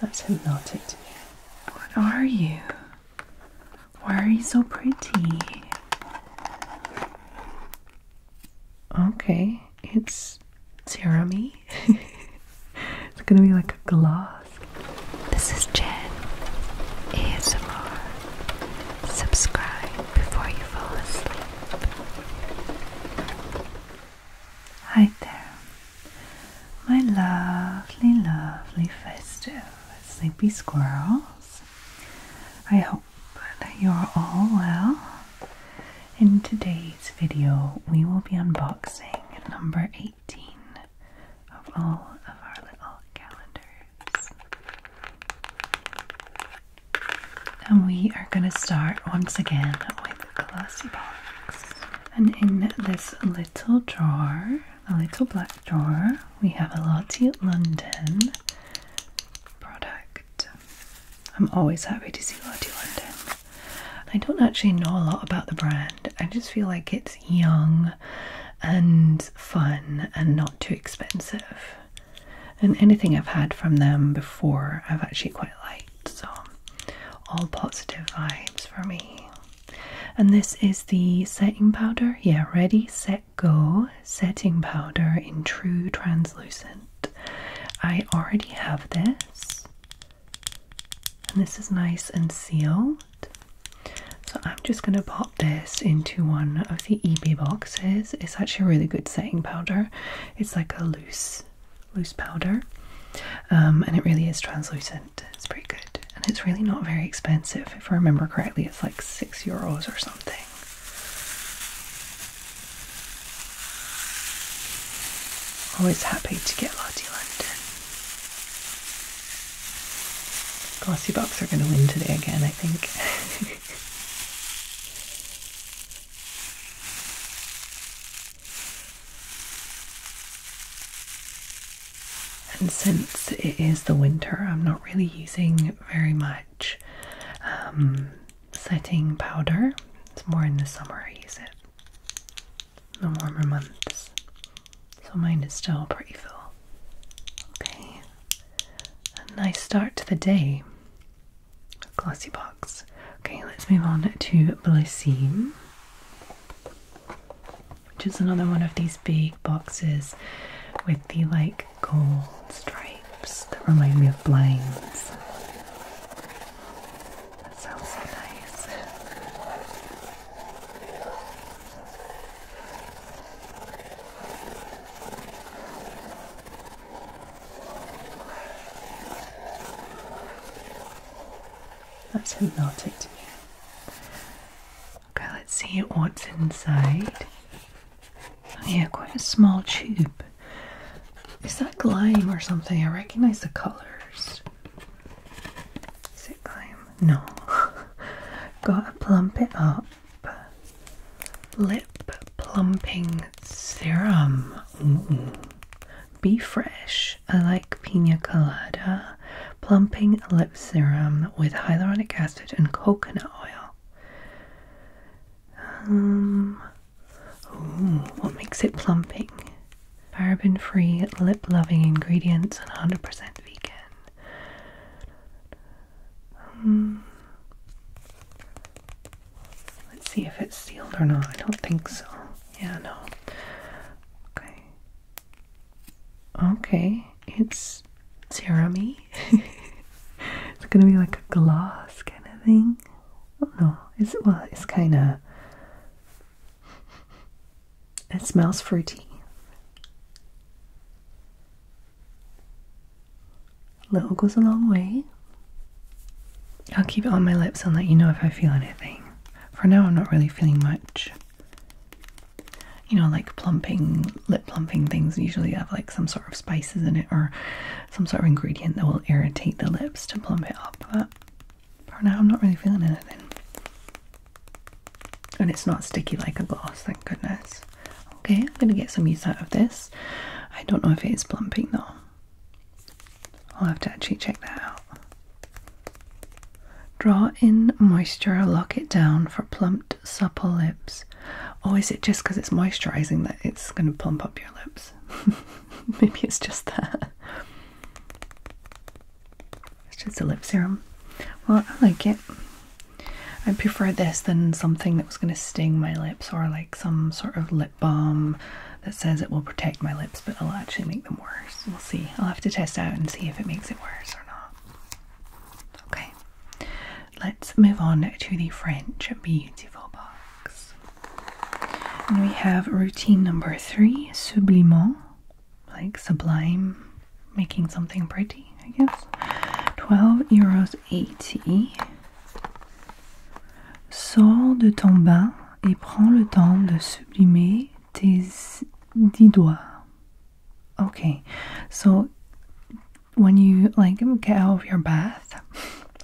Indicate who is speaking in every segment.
Speaker 1: That's hypnotic to me. What are you? Why are you so pretty? Okay, it's serumy. it's gonna be like a gloss. This is Jen ASMR. Subscribe before you fall asleep. Hi there, my lovely, lovely festive sleepy squirrels. I hope that you're all well. In today's video, we will be unboxing number 18 of all of our little calendars. And we are going to start once again with the glossy box. And in this little drawer, a little black drawer, we have a Lottie London product. I'm always happy to see Lottie London. I don't actually know a lot about the brand. I just feel like it's young and fun and not too expensive and anything I've had from them before I've actually quite liked. So, all positive vibes for me. And this is the setting powder. Yeah, ready, set, go setting powder in true translucent. I already have this, and this is nice and sealed. So, I'm just going to pop this into one of the eBay boxes. It's actually a really good setting powder. It's like a loose, loose powder, um, and it really is translucent. It's pretty good, and it's really not very expensive. If I remember correctly, it's like six euros or something. Always happy to get Lottie London. Glossy Box are going to win today again, I think. And since it is the winter, I'm not really using very much um, setting powder. It's more in the summer I use it, the warmer months. So mine is still pretty full. Okay, a nice start to the day. Glossy box. Okay, let's move on to Blissine, which is another one of these big boxes with the like gold stripes that remind me of blinds. That sounds so nice. That's hypnotic to me. Okay, let's see what's inside. Oh, yeah, quite a small tube. Is that glime or something? I recognise the colours. Is it glime? No. Gotta plump it up. Lip Plumping Serum. Be fresh. I like pina colada. Plumping lip serum with hyaluronic acid and coconut oil. Um, what makes it plumping? Paraben free, lip loving ingredients and 100% vegan. Um, let's see if it's sealed or not. I don't think so. Yeah, no. Okay. Okay, it's cerami. it's gonna be like a gloss kind of thing. Oh no, is it? Well, it's kind of. It smells fruity. Little goes a long way. I'll keep it on my lips and let you know if I feel anything. For now, I'm not really feeling much. You know, like plumping, lip plumping things usually have like some sort of spices in it or some sort of ingredient that will irritate the lips to plump it up. But for now, I'm not really feeling anything and it's not sticky like a gloss, thank goodness. Okay, I'm gonna get some use out of this. I don't know if it is plumping though. I'll have to actually check that out. Draw in moisture, lock it down for plumped, supple lips. Or is it just because it's moisturizing that it's going to plump up your lips? Maybe it's just that. It's just a lip serum. Well, I like it. I prefer this than something that was going to sting my lips or like some sort of lip balm that says it will protect my lips but it'll actually make them worse. We'll see. I'll have to test out and see if it makes it worse or not. Okay, let's move on to the French Beautiful Box. And we have routine number three, Sublimant like sublime making something pretty, I guess. 12 euros 80. Sors de ton bain et prends le temps de sublimer tes dix doigts. Okay, so when you like get out of your bath,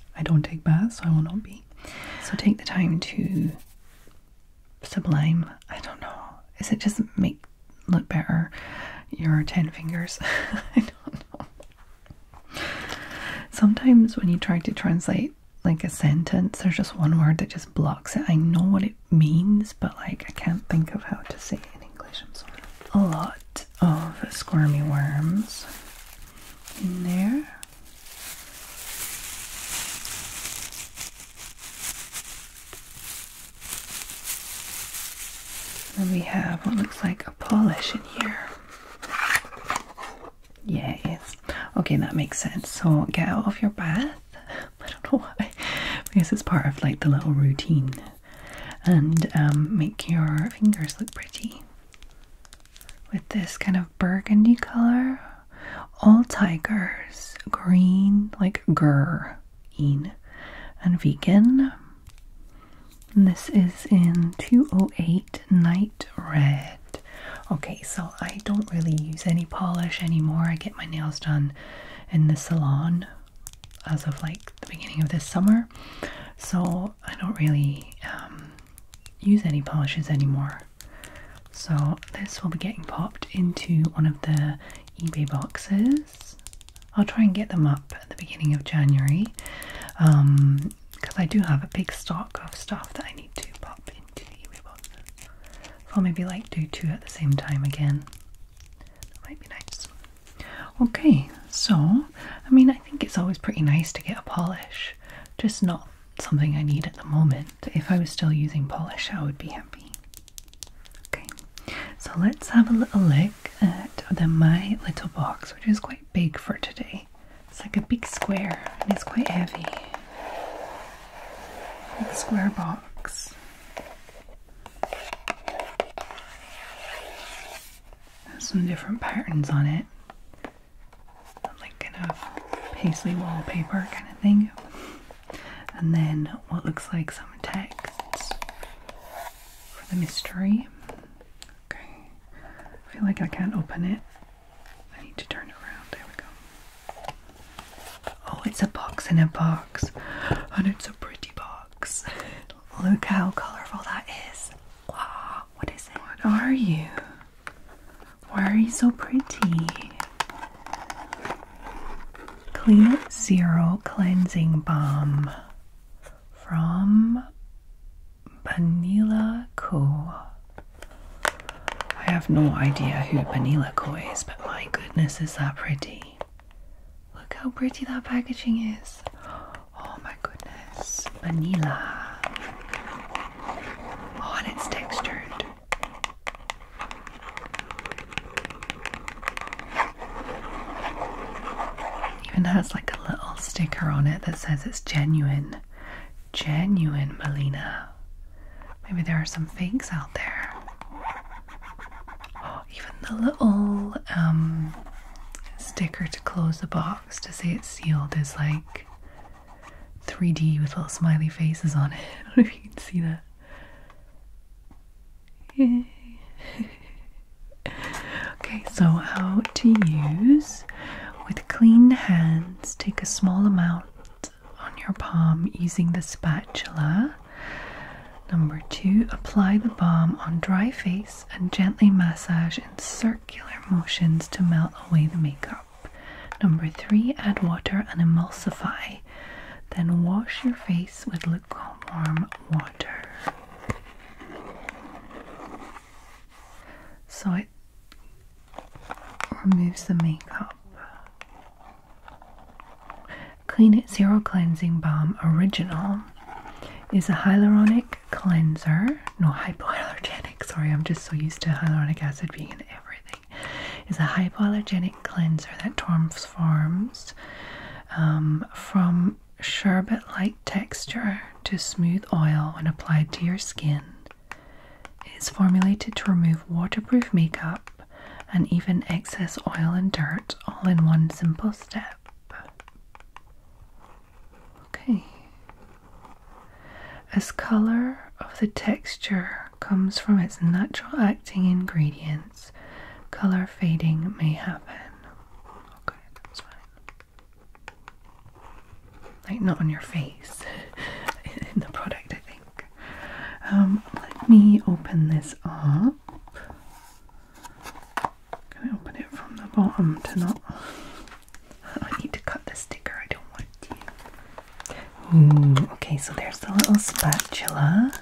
Speaker 1: I don't take baths, so I will not be. So take the time to sublime. I don't know. Is it just make look better your ten fingers? I don't know. Sometimes when you try to translate like a sentence, there's just one word that just blocks it. I know what it means, but like I can't think of how to say it in English. I'm sorry. A lot of squirmy worms in there. Then we have what looks like a polish in here. Yes. Okay, that makes sense. So get out of your bath. I don't know why, because it's part of like the little routine. And um, make your fingers look pretty with this kind of burgundy color. All tigers, green, like grr, in and vegan. And this is in 208 Night Red. Okay, so I don't really use any polish anymore. I get my nails done in the salon as of like the beginning of this summer. So I don't really um, use any polishes anymore. So this will be getting popped into one of the eBay boxes. I'll try and get them up at the beginning of January because um, I do have a big stock of stuff that I need to pop into eBay boxes. So maybe like do two at the same time again. might be nice. Okay, so I mean, I think it's always pretty nice to get a polish, just not something I need at the moment. If I was still using polish, I would be happy. Okay, so let's have a little look at the My Little Box, which is quite big for today. It's like a big square and it's quite heavy. Big square box. some different patterns on it. Like kind of paisley wallpaper kind of thing and then what looks like some text for the mystery. Okay, I feel like I can't open it. I need to turn it around. There we go. Oh, it's a box in a box, and it's a pretty box. Look how colourful that is. what is it? What are you? Why are you so pretty? Clean Up Zero Cleansing Balm from Vanilla Co. I have no idea who Vanilla Co is, but my goodness, is that pretty! Look how pretty that packaging is. Oh my goodness, vanilla. Oh, it's textured. Even has like a little sticker on it that says it's genuine. Genuine Melina. Maybe there are some fakes out there. Oh, even the little um, sticker to close the box to say it's sealed is like 3D with little smiley faces on it. I don't know if you can see that. okay, so how to use with clean hands, take a small amount on your palm using the spatula. Number two, apply the balm on dry face and gently massage in circular motions to melt away the makeup. Number three, add water and emulsify. Then wash your face with lukewarm water. So it removes the makeup. Clean It Zero Cleansing Balm Original is a hyaluronic cleanser. No, hypoallergenic. Sorry, I'm just so used to hyaluronic acid being in everything is a hypoallergenic cleanser that transforms um, from sherbet-like texture to smooth oil when applied to your skin. It is formulated to remove waterproof makeup and even excess oil and dirt all in one simple step. Okay. As color of the texture comes from its natural acting ingredients, color fading may happen. Okay, that's fine. Like, not on your face, in the product, I think. Um, let me open this up. Can I open it from the bottom to not? I need to cut the sticker, I don't want to okay, so there's the little spatula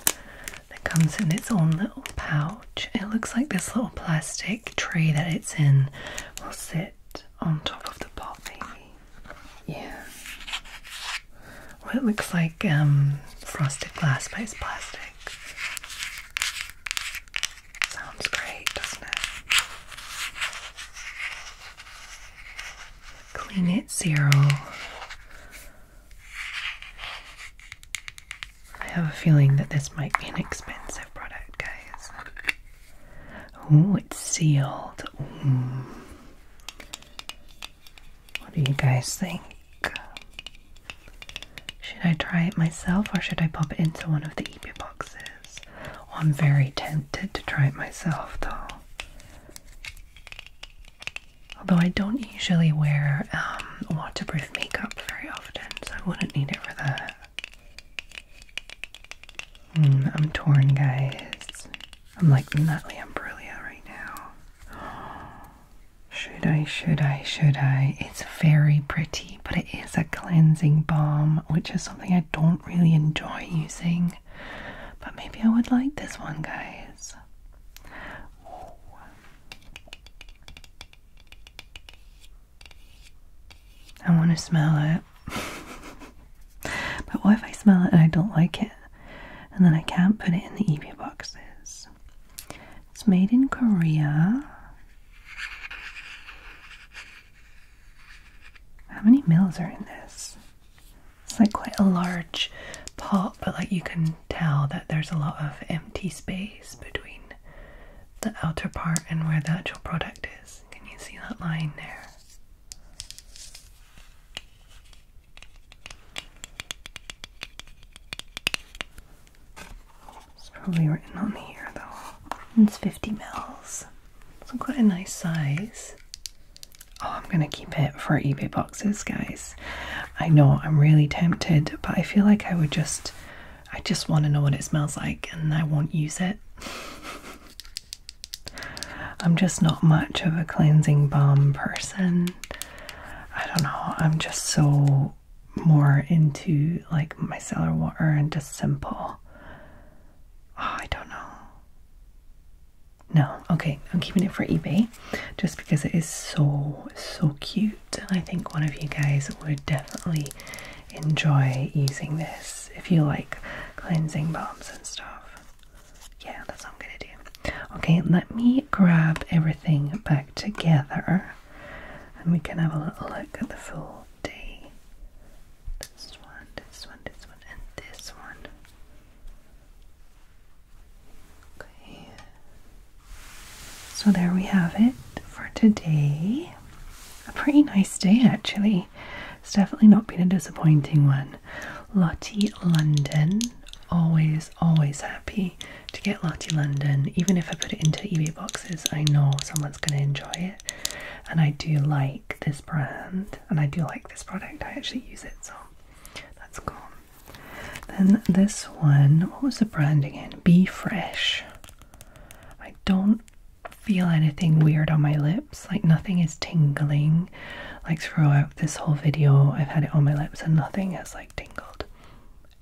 Speaker 1: that comes in its own little pouch. It looks like this little plastic tray that it's in will sit on top of the pot, maybe. Yeah. Well, it looks like um, frosted glass, but it's plastic. Sounds great, doesn't it? clean it zero. I have a feeling that this might be an expensive product, guys. Oh, it's sealed. What do you guys think? Should I try it myself or should I pop it into one of the eBay boxes? Oh, I'm very tempted to try it myself, though. Although I don't usually wear um, waterproof makeup very often, so I wouldn't need it for that. Hmm, I'm torn, guys. I'm like Natalie Imbruglia right now. Should I, should I, should I? It's very pretty, but it is a cleansing balm, which is something I don't really enjoy using, but maybe I would like this one, guys. I want to smell it. but what if I smell it and I don't like it? And then I can't put it in the eBay boxes. It's made in Korea. How many mils are in this? It's like quite a large pot, but like you can tell that there's a lot of empty space between the outer part and where the actual product is. Can you see that line there? It's probably written on here though. It's 50 mils. It's quite a nice size. Oh, I'm going to keep it for eBay boxes, guys. I know I'm really tempted, but I feel like I would just, I just want to know what it smells like and I won't use it. I'm just not much of a cleansing balm person. I don't know. I'm just so more into like micellar water and just simple Ah, I don't know. No, okay, I'm keeping it for eBay just because it is so, so cute. I think one of you guys would definitely enjoy using this if you like cleansing balms and stuff. Yeah, that's what I'm gonna do. Okay, let me grab everything back together and we can have a little look at the full day this one, this one, this one, and this one. Okay. So there we have it for today. A pretty nice day, actually. It's definitely not been a disappointing one. Lottie London. Always, always happy to get Lottie London. Even if I put it into eBay boxes, I know someone's going to enjoy it. And I do like this brand, and I do like this product. I actually use it, so that's cool. Then this one, what was the brand again? Be Fresh. I don't feel anything weird on my lips, like nothing is tingling. Like throughout this whole video, I've had it on my lips and nothing has like tingled.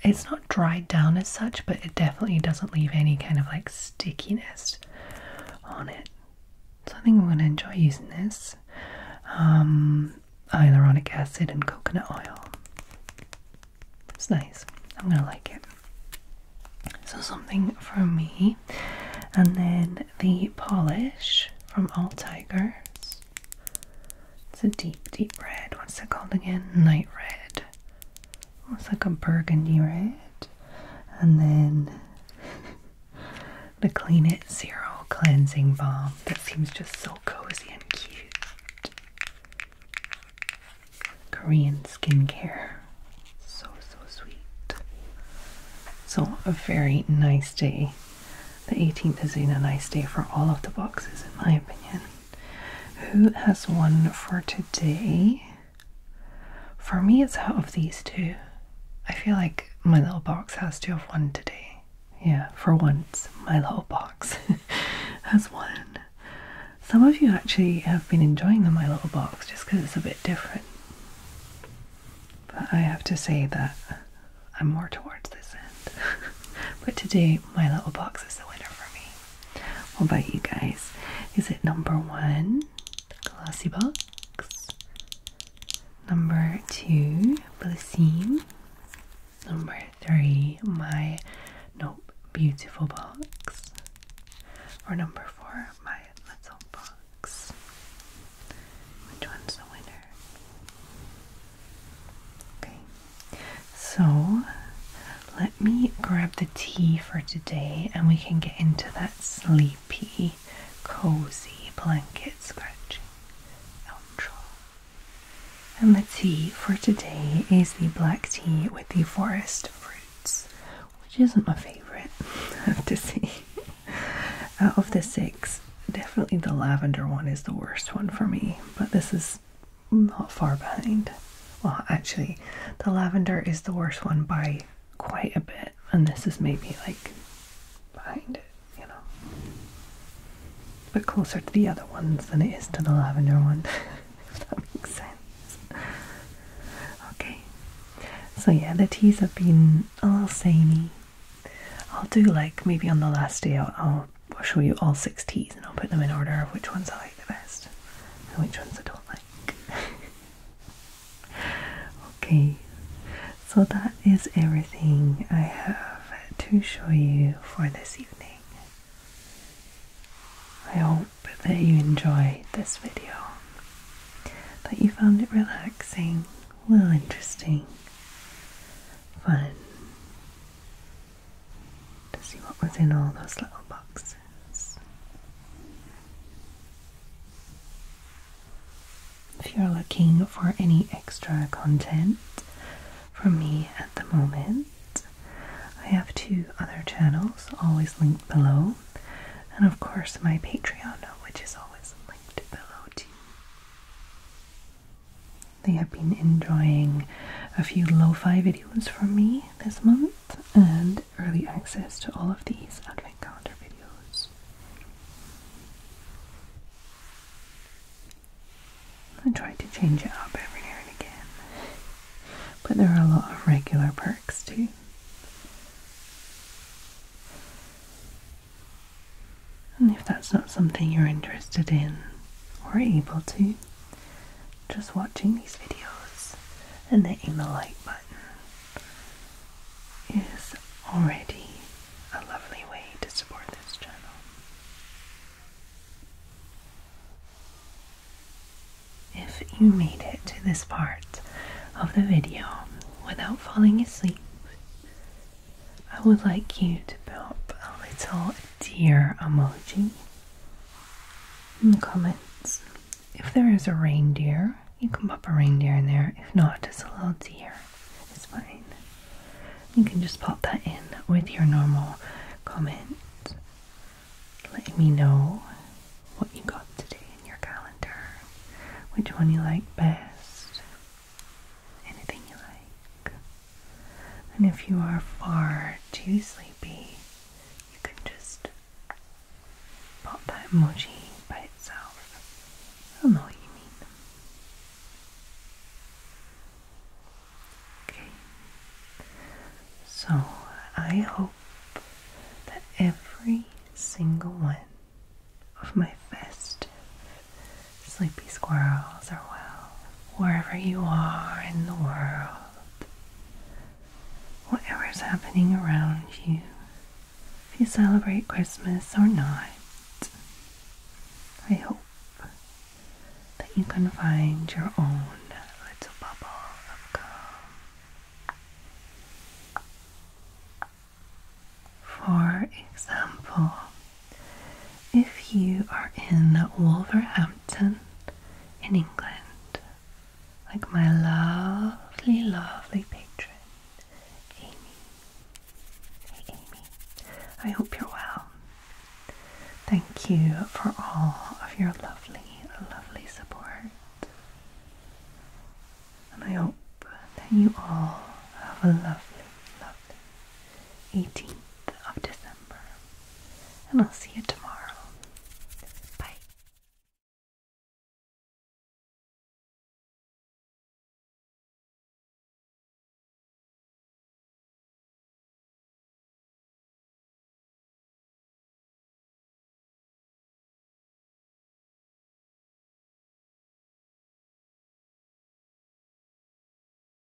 Speaker 1: It's not dried down as such, but it definitely doesn't leave any kind of like stickiness on it. So I think I'm going to enjoy using this. Um, hyaluronic acid and coconut oil. It's nice. I'm going to like it. So something for me. And then the polish from All Tigers. It's a deep, deep red. What's it called again? Night red. Looks like a burgundy red. And then the Clean It Zero Cleansing Balm. That seems just so cozy and cute. Korean skincare. So, so sweet. So, a very nice day. The 18th is been a nice day for all of the boxes, in my opinion. Who has one for today? For me, it's out of these two. I feel like my little box has to have one today. Yeah, for once, my little box has one. Some of you actually have been enjoying the My Little Box just because it's a bit different. But I have to say that I'm more towards this end. but today, My Little Box is the winner for me. What about you guys? Is it number one, glossy box? Number two, blue Number three, my nope, beautiful box. Or number four, my little box. Which one's the winner? Okay. So let me grab the tea for today and we can get into that sleepy, cozy blanket scratching And the tea for today is the black tea with the forest fruits, which isn't my favourite, I have to say. Out of the six, definitely the lavender one is the worst one for me, but this is not far behind. Well, actually, the lavender is the worst one by quite a bit, and this is maybe like behind it, you know. But closer to the other ones than it is to the lavender one, if that makes sense. Okay, so yeah, the teas have been a little samey. I'll do like maybe on the last day, I'll, I'll show you all six teas and I'll put them in order of which ones I the best and which ones I don't like. okay, so that is everything I have to show you for this evening. I hope that you enjoyed this video, that you found it relaxing, a little interesting, fun, to see what was in all those little boxes. If you're looking for any extra content from me at the moment, I have two other channels always linked below, and of course my Patreon, which is always linked below too. They have been enjoying a few lo fi videos from me this month and early access to all of these advent calendar videos. I try to change it up every now and again, but there are a lot of regular perks too. And if that's not something you're interested in or able to, just watching these videos and hitting the like button is already a lovely way to support this channel. If you made it to this part of the video without falling asleep, I would like you to pop a little deer emoji in the comments. If there is a reindeer, you can pop a reindeer in there. If not, just a little deer. It's fine. You can just pop that in with your normal comment. Let me know what you got today in your calendar. Which one you like best. Anything you like. And if you are far too sleepy, you can just pop that emoji by itself. I know what you mean. Okay. So I hope that every single one of my festive sleepy squirrels are well wherever you are in the world, whatever's happening around you, if you celebrate Christmas or not, I hope that you can find your own little bubble of calm. For example, if you are in Wolverhampton in England, like my lovely, lovely patron, Amy. Hey Amy, I hope you're well. Thank you for all of your lovely, lovely support. And I hope that you all have a lovely, lovely 18th of December. And I'll see you tomorrow. Bye.